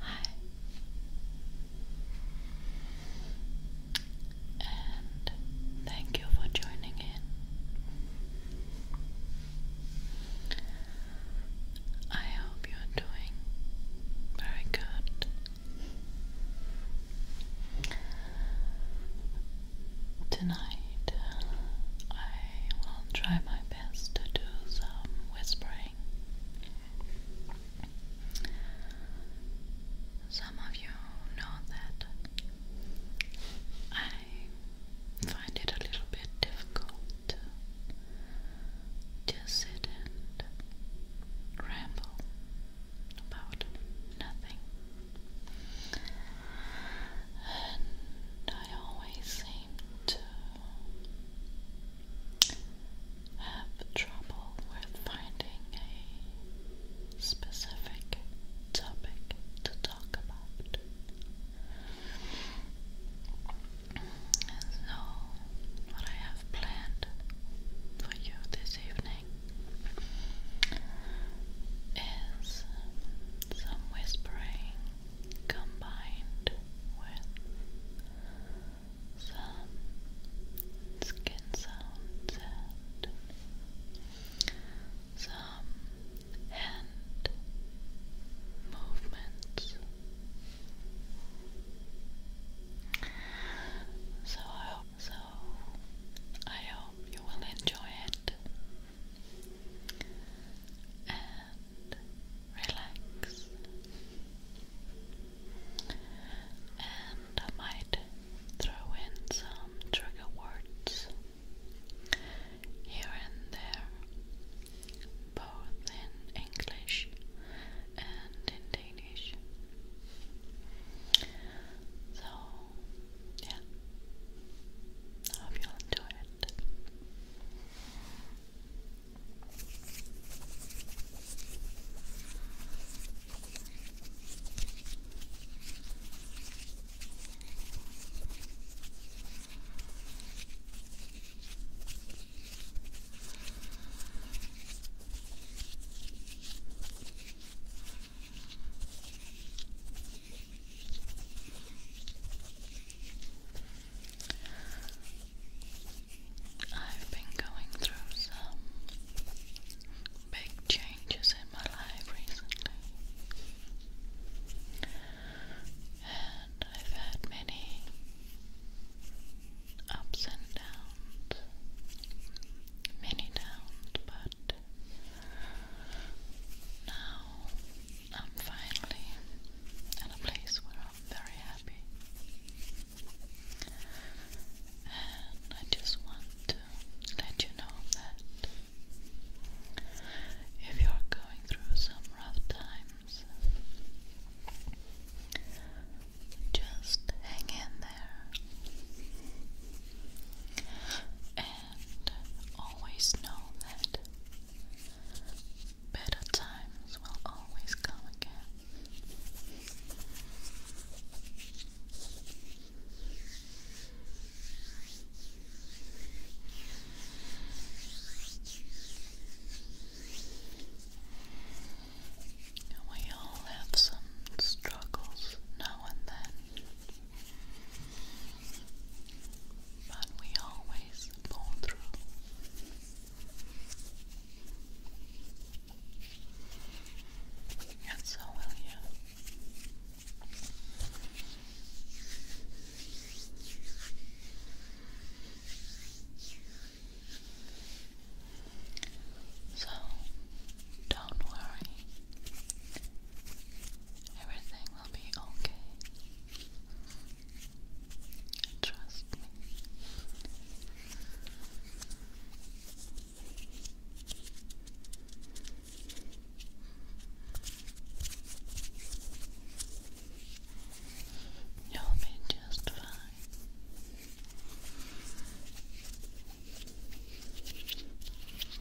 Hi, and thank you for joining in. I hope you're doing very good. Tonight, I will try my best to do some whispering. Some of you know that I find it a little bit difficult to sit and ramble about nothing and I always seem to have trouble with finding a specific topic to talk about. so, what I have planned for you this evening is some whispering combined with some skin sounds and some hand movements. So I hope so. I hope you will enjoy it and relax. And I might throw in some trigger words here and there, both in English and in Danish. So, yeah, I hope you'll enjoy it. I've been going through some big changes in my life recently, and I've had many ups and downs, many downs, but good. Now I'm finally at a place where I'm very happy. And I just want to let you know that if you're going through some rough times, just hang in there. And always know that better times will always come again. We all have some struggles now and then. But we always pull through. And so will you. So don't worry. Everything will be okay. Trust me. You'll be just fine.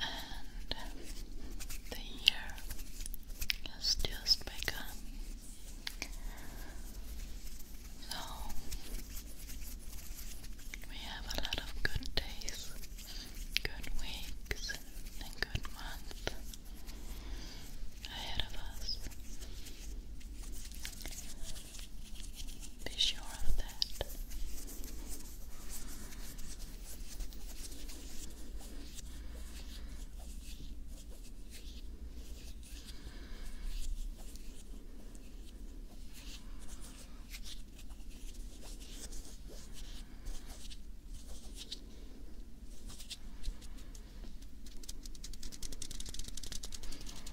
and the year has just begun. So we have a lot of good days, good weeks, and good months ahead of us. Be sure of that.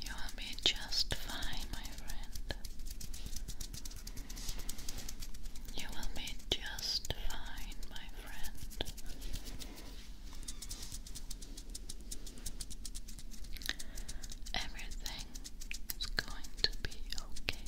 You will be just fine, my friend. You will be just fine, my friend. Everything is going to be okay.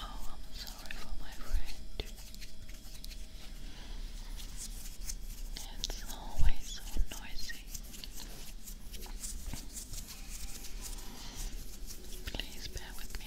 Oh, I'm sorry for my friend. It's always so noisy. Please bear with me.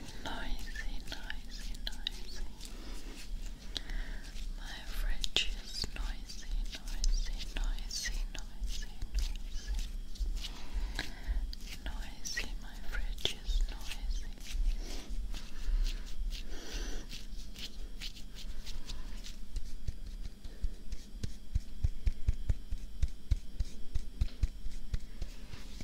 noisy, noisy, noisy. My fridge is noisy, noisy, noisy, noisy, noisy. Noisy, my fridge is noisy.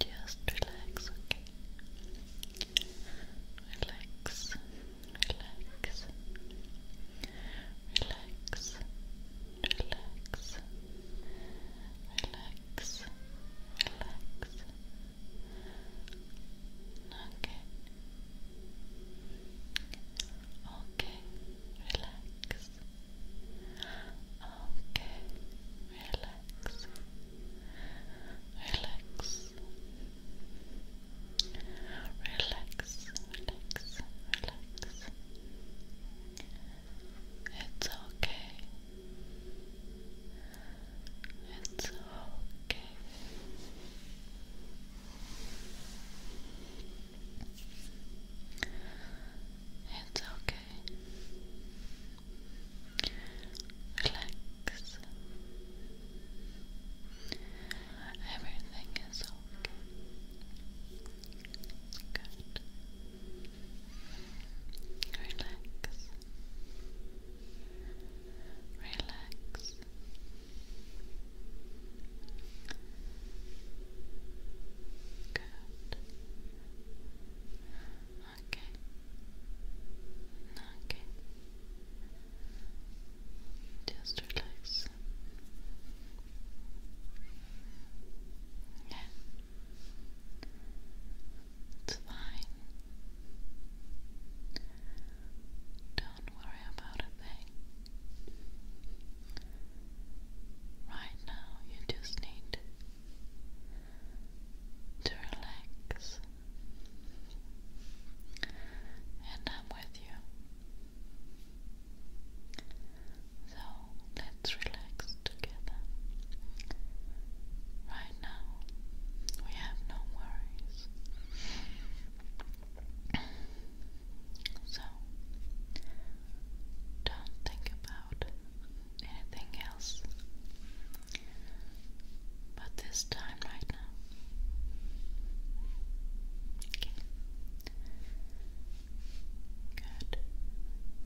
Just relax, okay? Relax, relax, relax, relax, relax, relax, relax. Okay, okay, relax. Okay, relax, relax. Relax, relax, relax. It's okay. It's okay. It's okay. Relax. Everything is okay. Good. Relax. Relax. Good. Okay. Okay. Just relax. Yeah. It's fine. Don't worry about a thing. Right now, you just need to relax, and I'm with you. So let's relax together. Right now, we have no worries. So don't think about anything else. But this time right now. Okay. Good.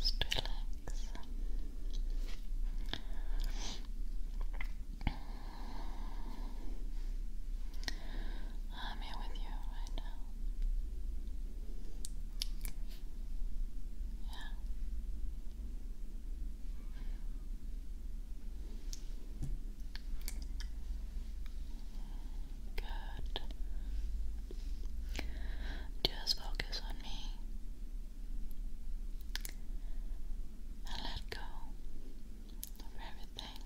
Just relax. I'm here with you right now. Yeah. Good. Just focus on me. And let go of everything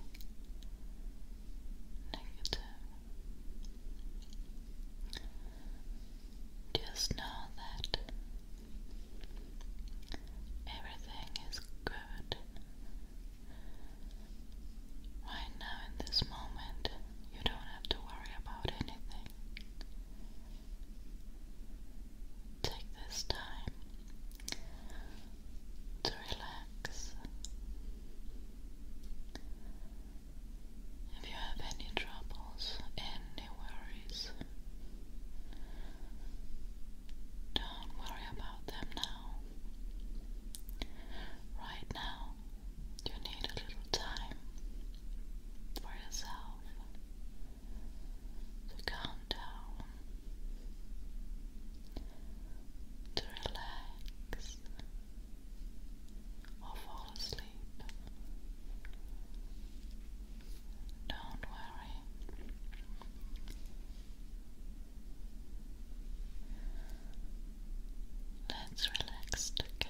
negative just know that everything is good. Right now, in this moment, you don't have to worry about anything. Take this time to relax. If you have any troubles, any worries, don't worry about them now. Right now, you need a little time for yourself to calm down to relax or fall asleep. Don't worry. Let's relax together.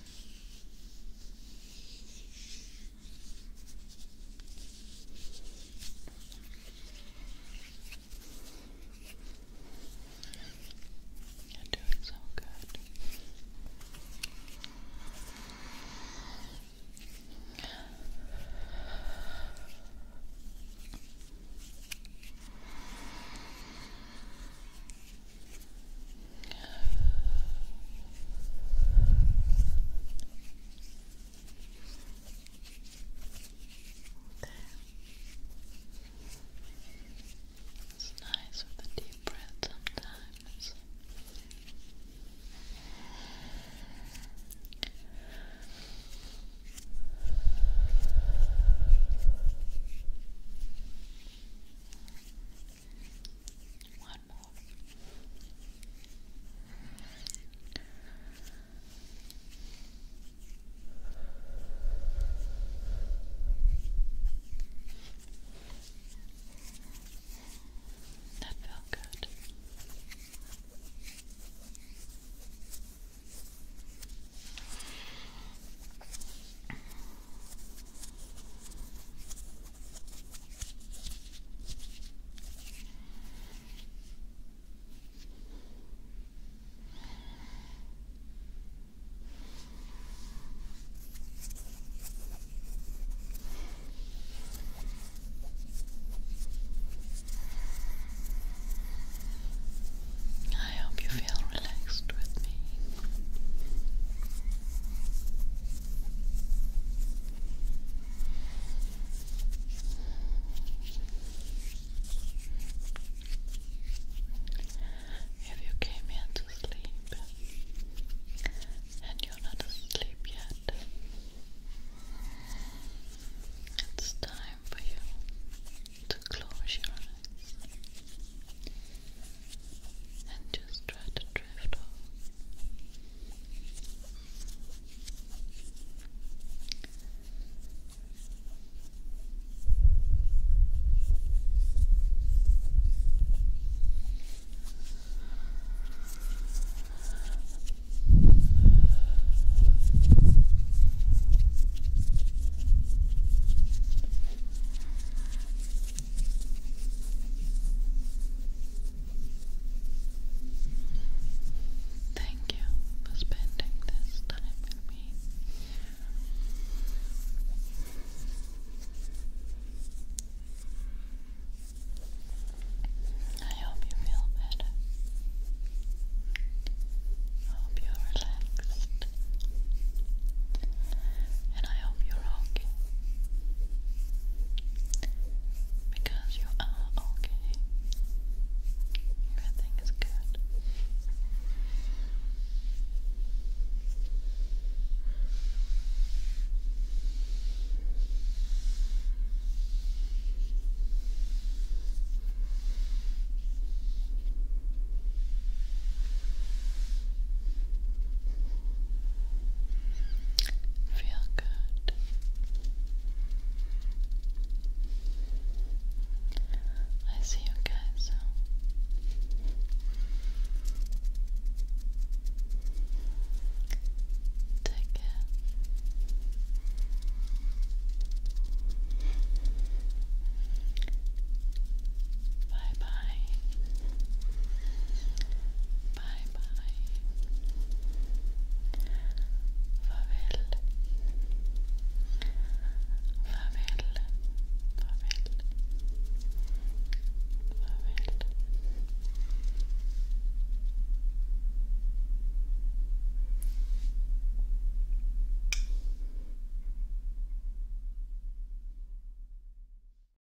You're doing so good. There. It's nice with a deep breath sometimes. One more. That felt good. I hope you feel relaxed with me. If you came here to sleep and you're not asleep yet, it's time for you to close your eyes and just try to drift off. Thank you for spending this time with me. I hope you feel better. hope you're relaxed. And I hope you're okay. Because you are okay. Everything is good. Feel good. I see you guys. Take care. Bye bye. Bye bye. Farvel. Farvel. Farvel. Farvel.